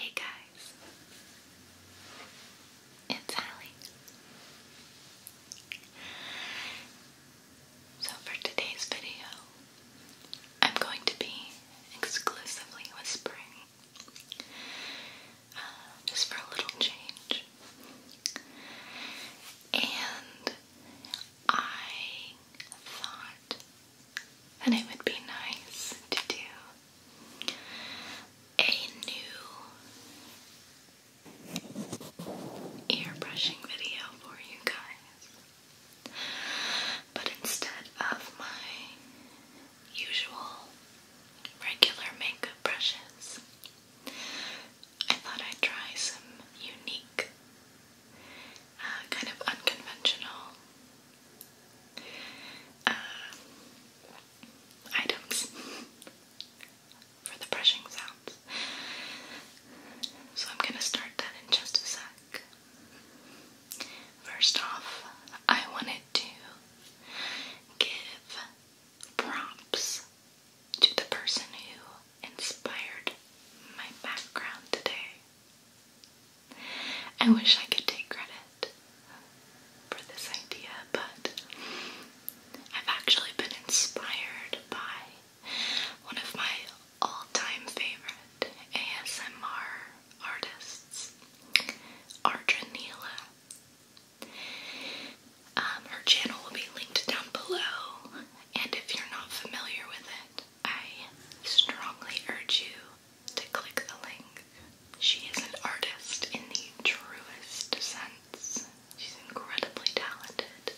Hey guys, it's Hallie. So for today's video, I'm going to be exclusively whispering uh, just for a little change. And I thought that it would be nice to do a new ear brushing video for you guys. But instead of my usual regular makeup brushes. I thought I'd try some unique, uh, kind of unconventional uh, items for the brushing sounds. So I'm going to start that in just a sec. First off, I wanted to give props to the person who inspired my background today. I wish I could take credit for this idea, but I've actually been inspired by one of my all time favorite ASMR artists, Ardra um, her channel will be linked down below, and if you're not familiar with it, I strongly urge you to click the link. She is an artist in the truest sense. She's incredibly talented.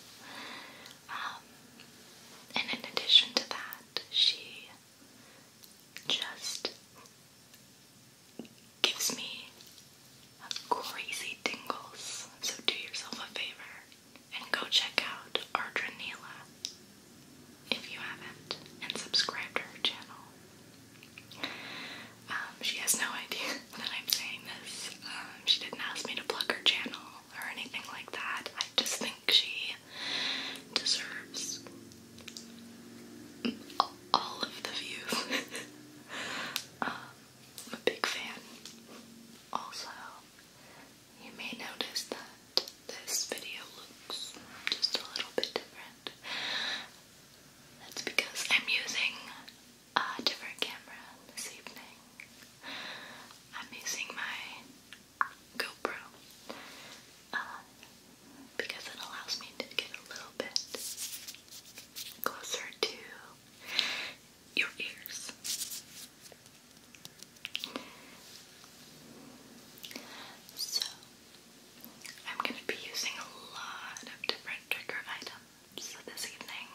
Um, and in addition to that, she just gives me crazy tingles. So do yourself a favor and go check out Ardra Neela if you haven't and subscribe to her channel. Um, she has no idea that I'm saying this. Um, she didn't ask me to plug her channel or anything like that. I just think she deserves all of the views. Um, I'm a big fan. Also, you may notice that this video looks just a little bit different. That's because I'm using a different camera this evening. I'm using my GoPro. Um, because it allows me to get a little bit closer to your ears. So, I'm going to be using a lot of different trigger items this evening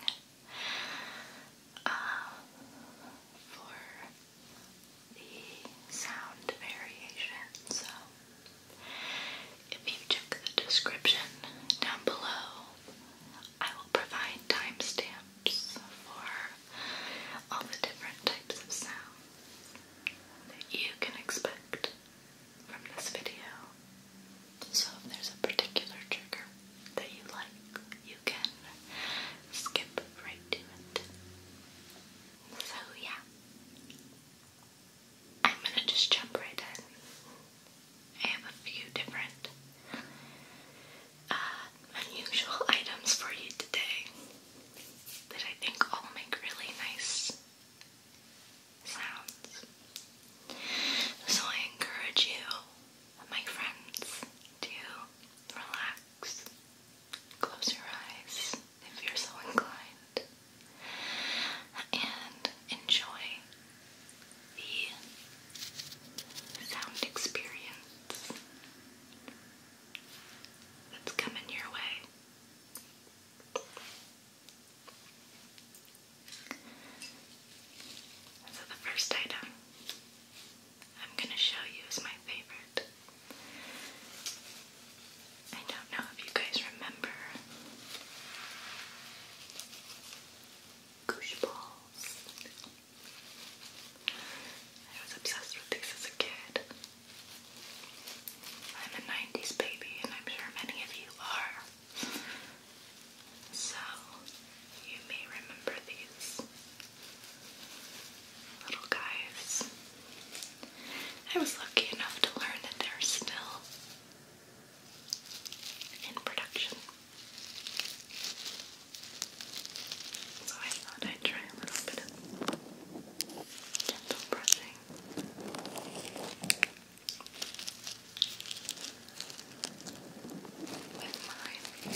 uh, for the sound variation. So, if you check the description down below, I will provide timestamps for all the different types of sound that you can expect from this video. So if there's a particular trigger that you like, you can skip right to it. So yeah, I'm gonna just jump right in. I have a few different uh, unusual items for you today that I think will make really nice sounds. So I encourage you, my friends, to relax, close your eyes if you're so inclined, and enjoy the sound experience that's coming your way. So, the first item I'm going to show you is my favorite. I don't know if you guys remember Goosh balls. I was obsessed with these as a kid. I'm a 90s baby, and I'm sure many of you are. So, you may remember these little guys I was lucky enough to learn that they're still in production. So I thought I'd try a little bit of gentle brushing. With mine.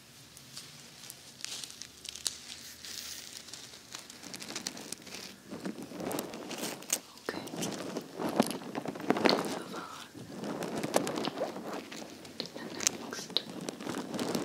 Okay. Move on. And next. Different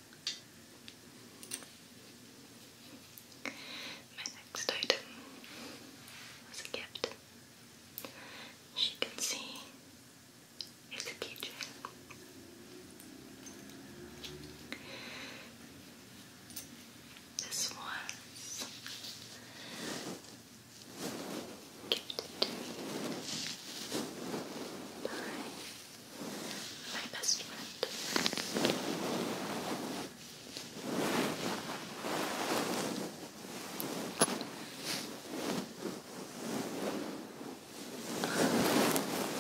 My next item was a gift. As can see, it's a keychain. This was gifted to my best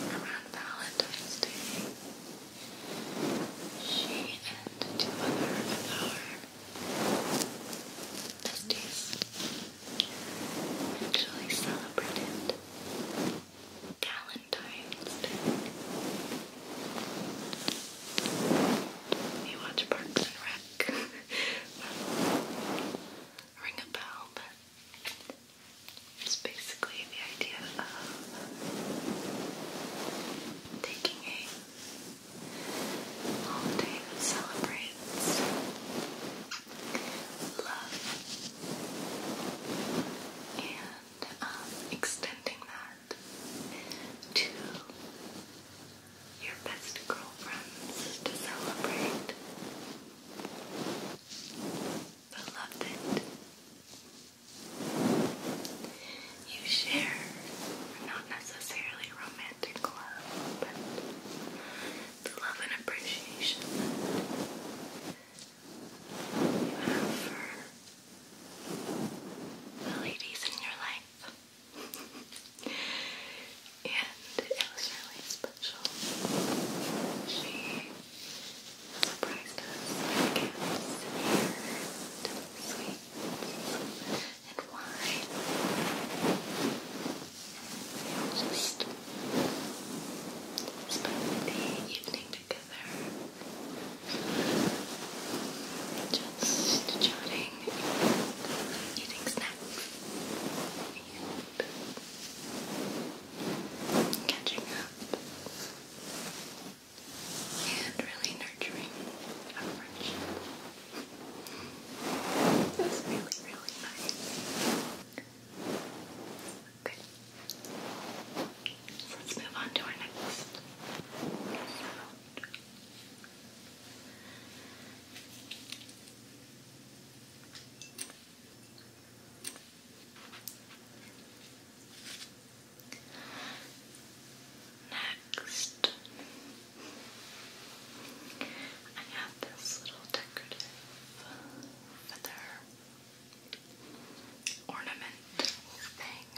Around Valentine's Day, she and two other of our besties actually celebrated. Calendar you watch Parks and Rec. Ring a bell, it's basically the idea of taking a holiday that celebrates love and um, extending that to your best girlfriends to celebrate. Beloved, you share not necessarily romantic love, but the love and appreciation you have for ladies in your life. and it was really special. She surprised us and sweets and wine. And just spent the evening together. Just chatting, eating snacks, and catching up, and really nurturing our friendship. It's really, really nice. Okay. So let's move on to our next Next, I have this little decorative feather ornament thing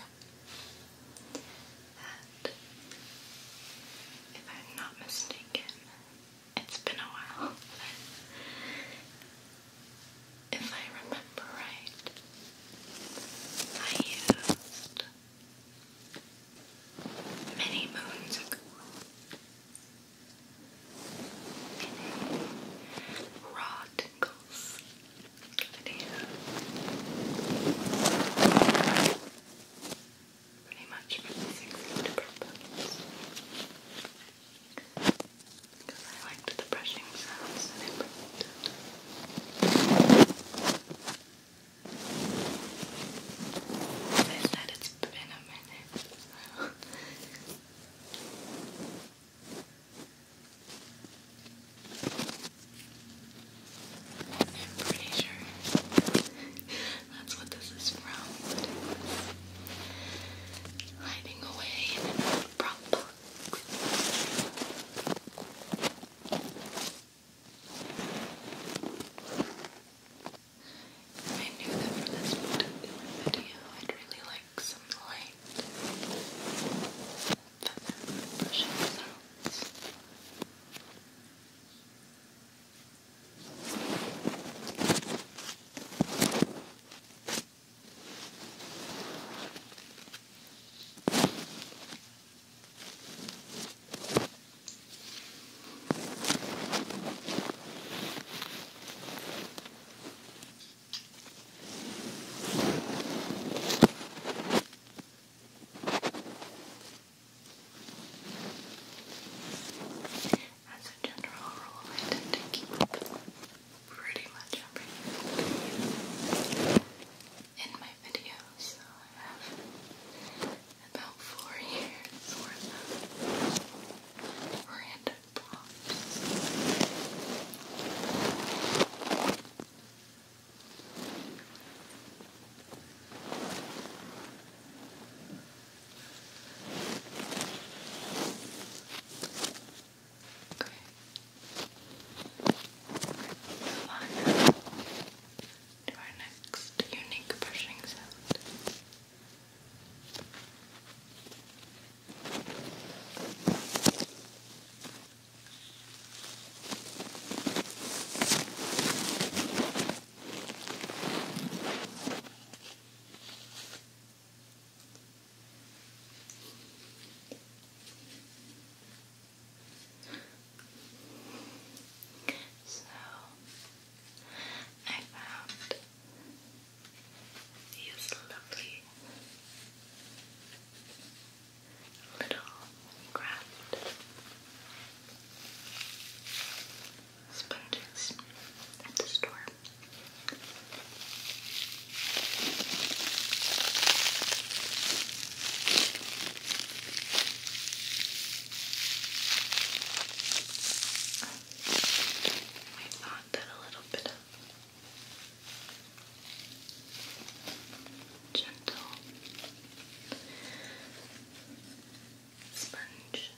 that, if I'm not mistaken, it's been a while, if I remember right, I used many moons ago. Rod Crinkles video. Pretty much releasing food problems. Because I liked the brushing sounds that it produced. As I it's been a minute, I'm pretty sure that's what this is from. hiding away in an old prop box. I knew that for this particular I'd really like like some light feather brushing sounds. Now as a general rule, I tend to keep pretty much everything in my videos, so I have about four years worth of random pops. Okay. Move on now to our next unique brushing sound. Okay. So I found these lovely little craft sponges at the store. I thought that a little bit gentle sponge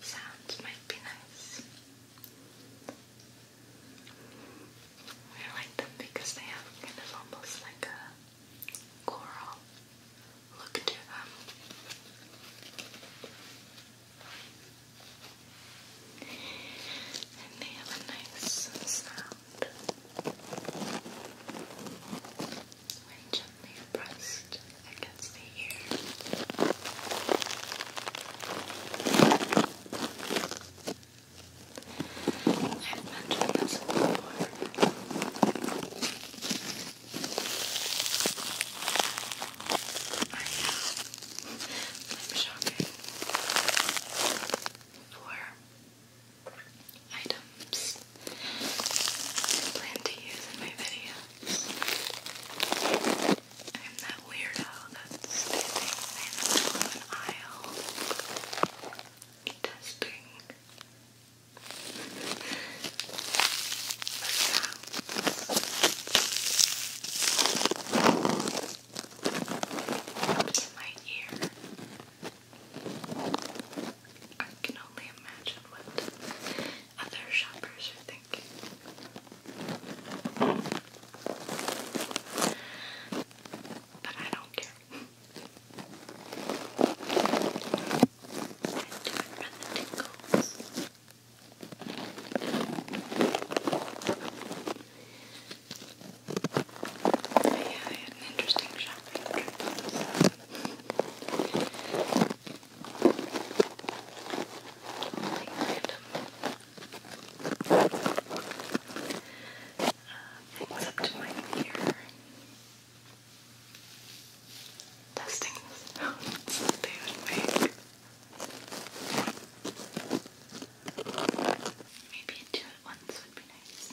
sounds might be nice. I like them because they have kind of almost like a coral look to them and they have a nice sound when gently pressed against the ear. I've this before. I know. I'm shocking four items plan to use in my videos. I'm that weirdo that's standing in the middle of an aisle testing the in my ear. I can only imagine what other shoppers are thinking. But I don't care. I but yeah, I had interesting things up to my ear. Testing the sounds that they Maybe two at once would be nice.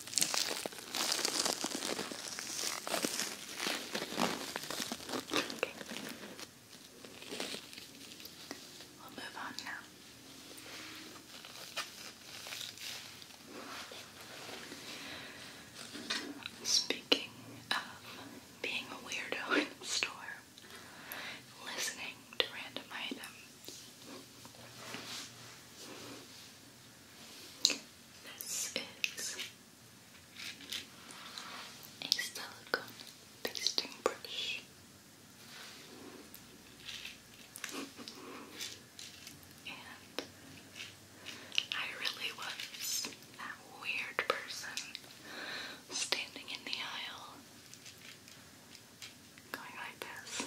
Okay. we Speaking of being a weirdo in the store, listening to random items. This is a silicone pasting brush. and I really was that weird person standing in the aisle going like this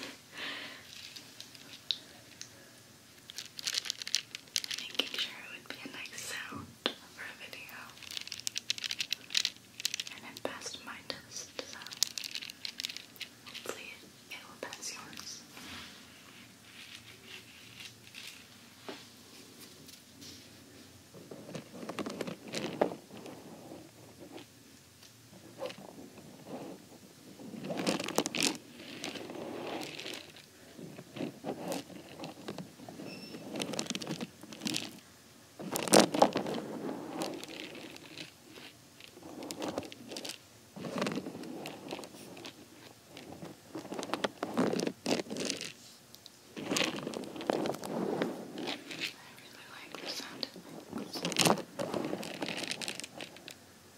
making sure it would be a nice sound for a video. And it passed my test, so hopefully it, it will pass yours. I really like the sound of my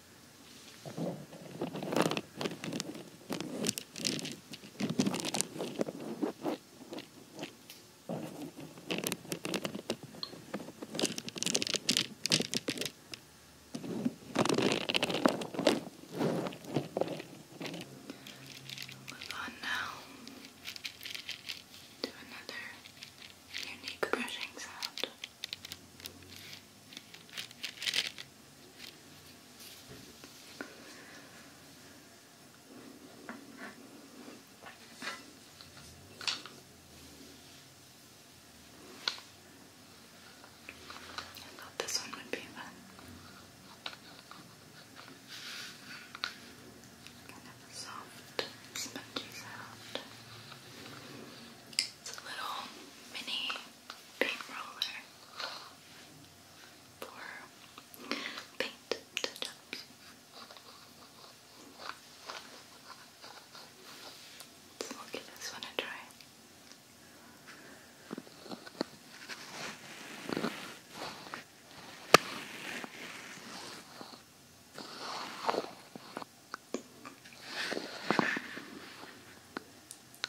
Move on now to another unique brushing sound. I thought this one would be fun. Kind of soft, spongy sound. It's a little mini paint roller for paint touch-ups. Let's look this one and try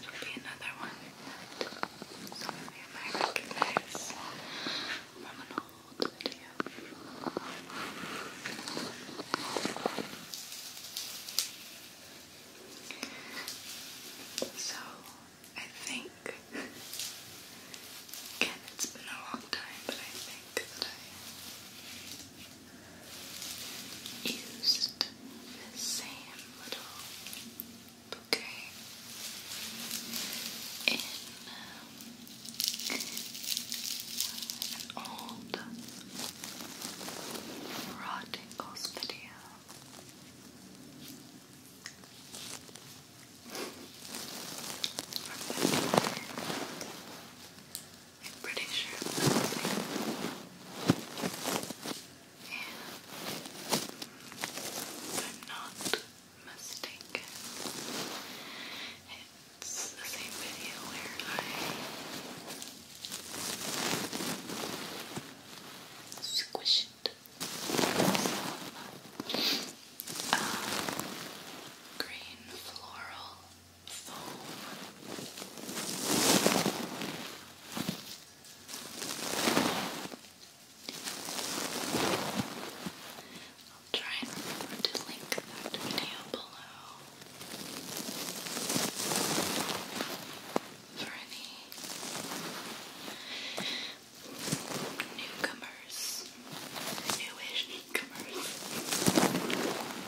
It'll be another one that some of you might recognize from an old video. So, I think, again, it's been a long time, but I think I used the same little bouquet um, in an old raw tingles video. I'm pretty sure if I'm not mistaken, it's the same video where I squished some green floral foam. I'll try and remember to link that video below for any newcomers, newish newcomers who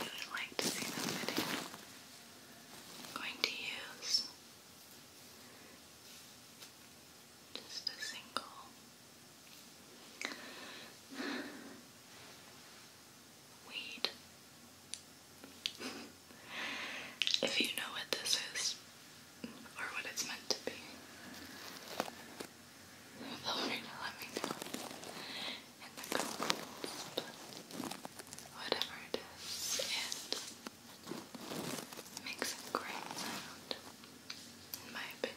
would like to see that video. I'm going to use just a single weed. if you know what this is or what it's meant to be, feel let me know in the comments. whatever it is, it makes a great sound, in my opinion.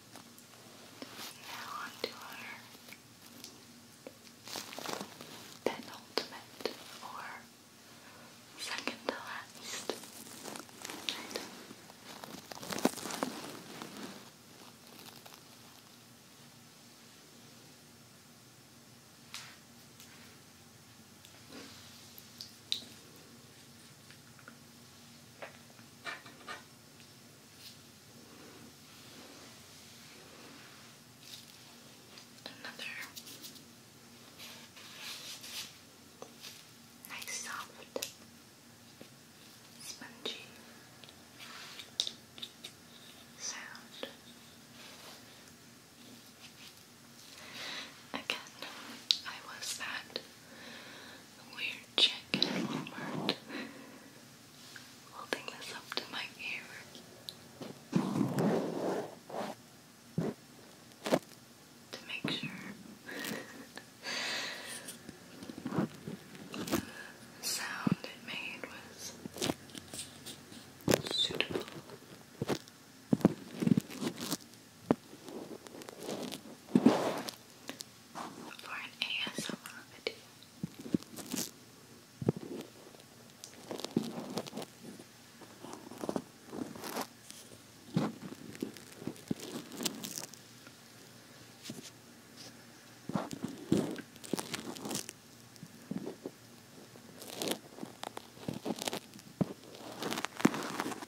Now onto our penultimate or second to last Another nice soft spongy sound. Again, I was at weird chick in holding this up to my ear to make sure the sound it made was suitable for an ASMR video.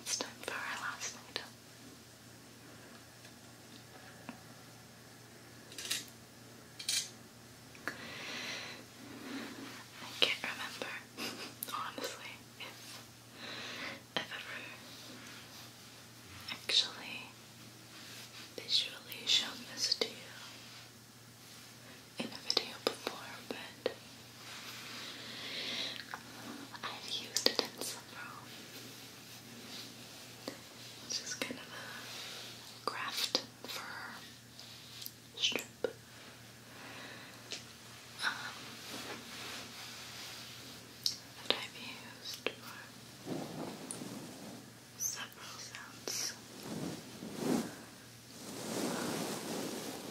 It's time for our last item. I can't remember, honestly, if I've ever actually visually shown this to you in a video before, but I've used it in several. This is kind of a craft strip. Um, that I've used for several sounds,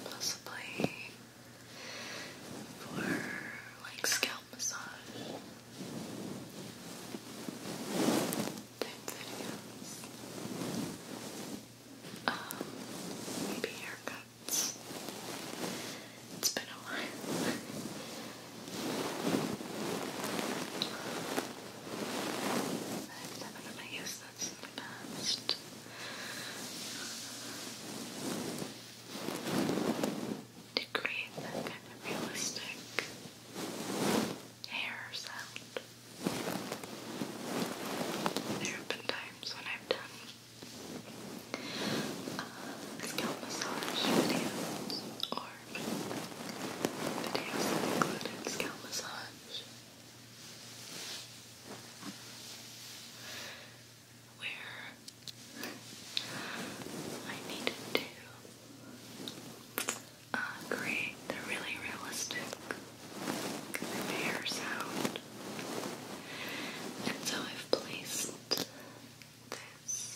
possibly for like scalp massage type videos, um, maybe haircuts. It's been a while. I'm never gonna use in the past. To create kind of realistic hair sound. There have been times when I've done scalp massage videos or form. Videos included scalp massage, where I needed to create the really realistic hair sound. And so I've placed this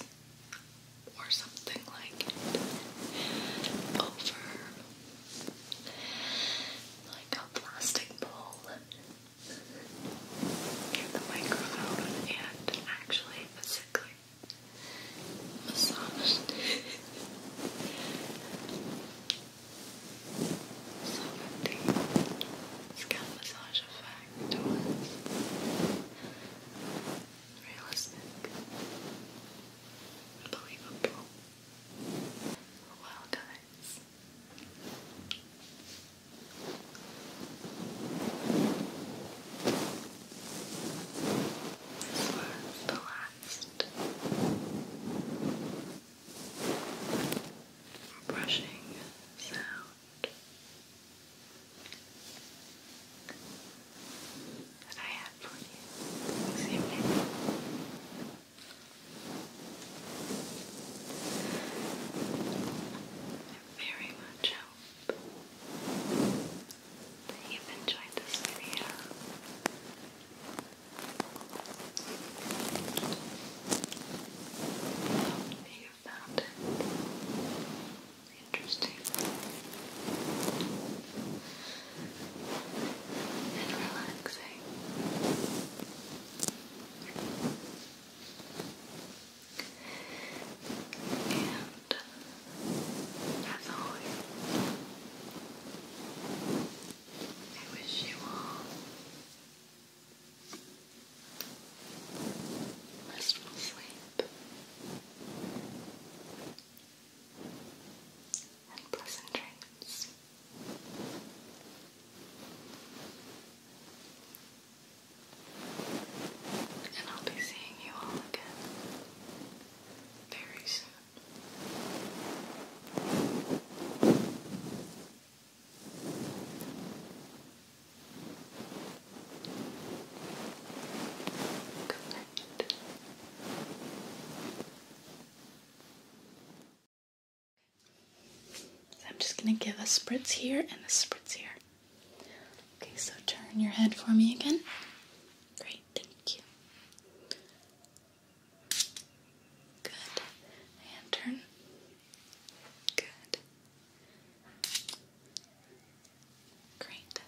or something like it over like a plastic bowl get the microphone and actually physically massage so scalp massage effect realistic Unbelievable. Well, guys. This was the last brushing sound that I had for you this very much hope that you've enjoyed this video. I you found it Interesting. And relaxing. And as always, I wish you all restful sleep and pleasant dreams. And I'll be seeing you all again very soon. Good night. I'm just going to give a spritz here and a spritz here. Okay, so turn your head for me again. Great, thank you. Good. And turn. Good. Great.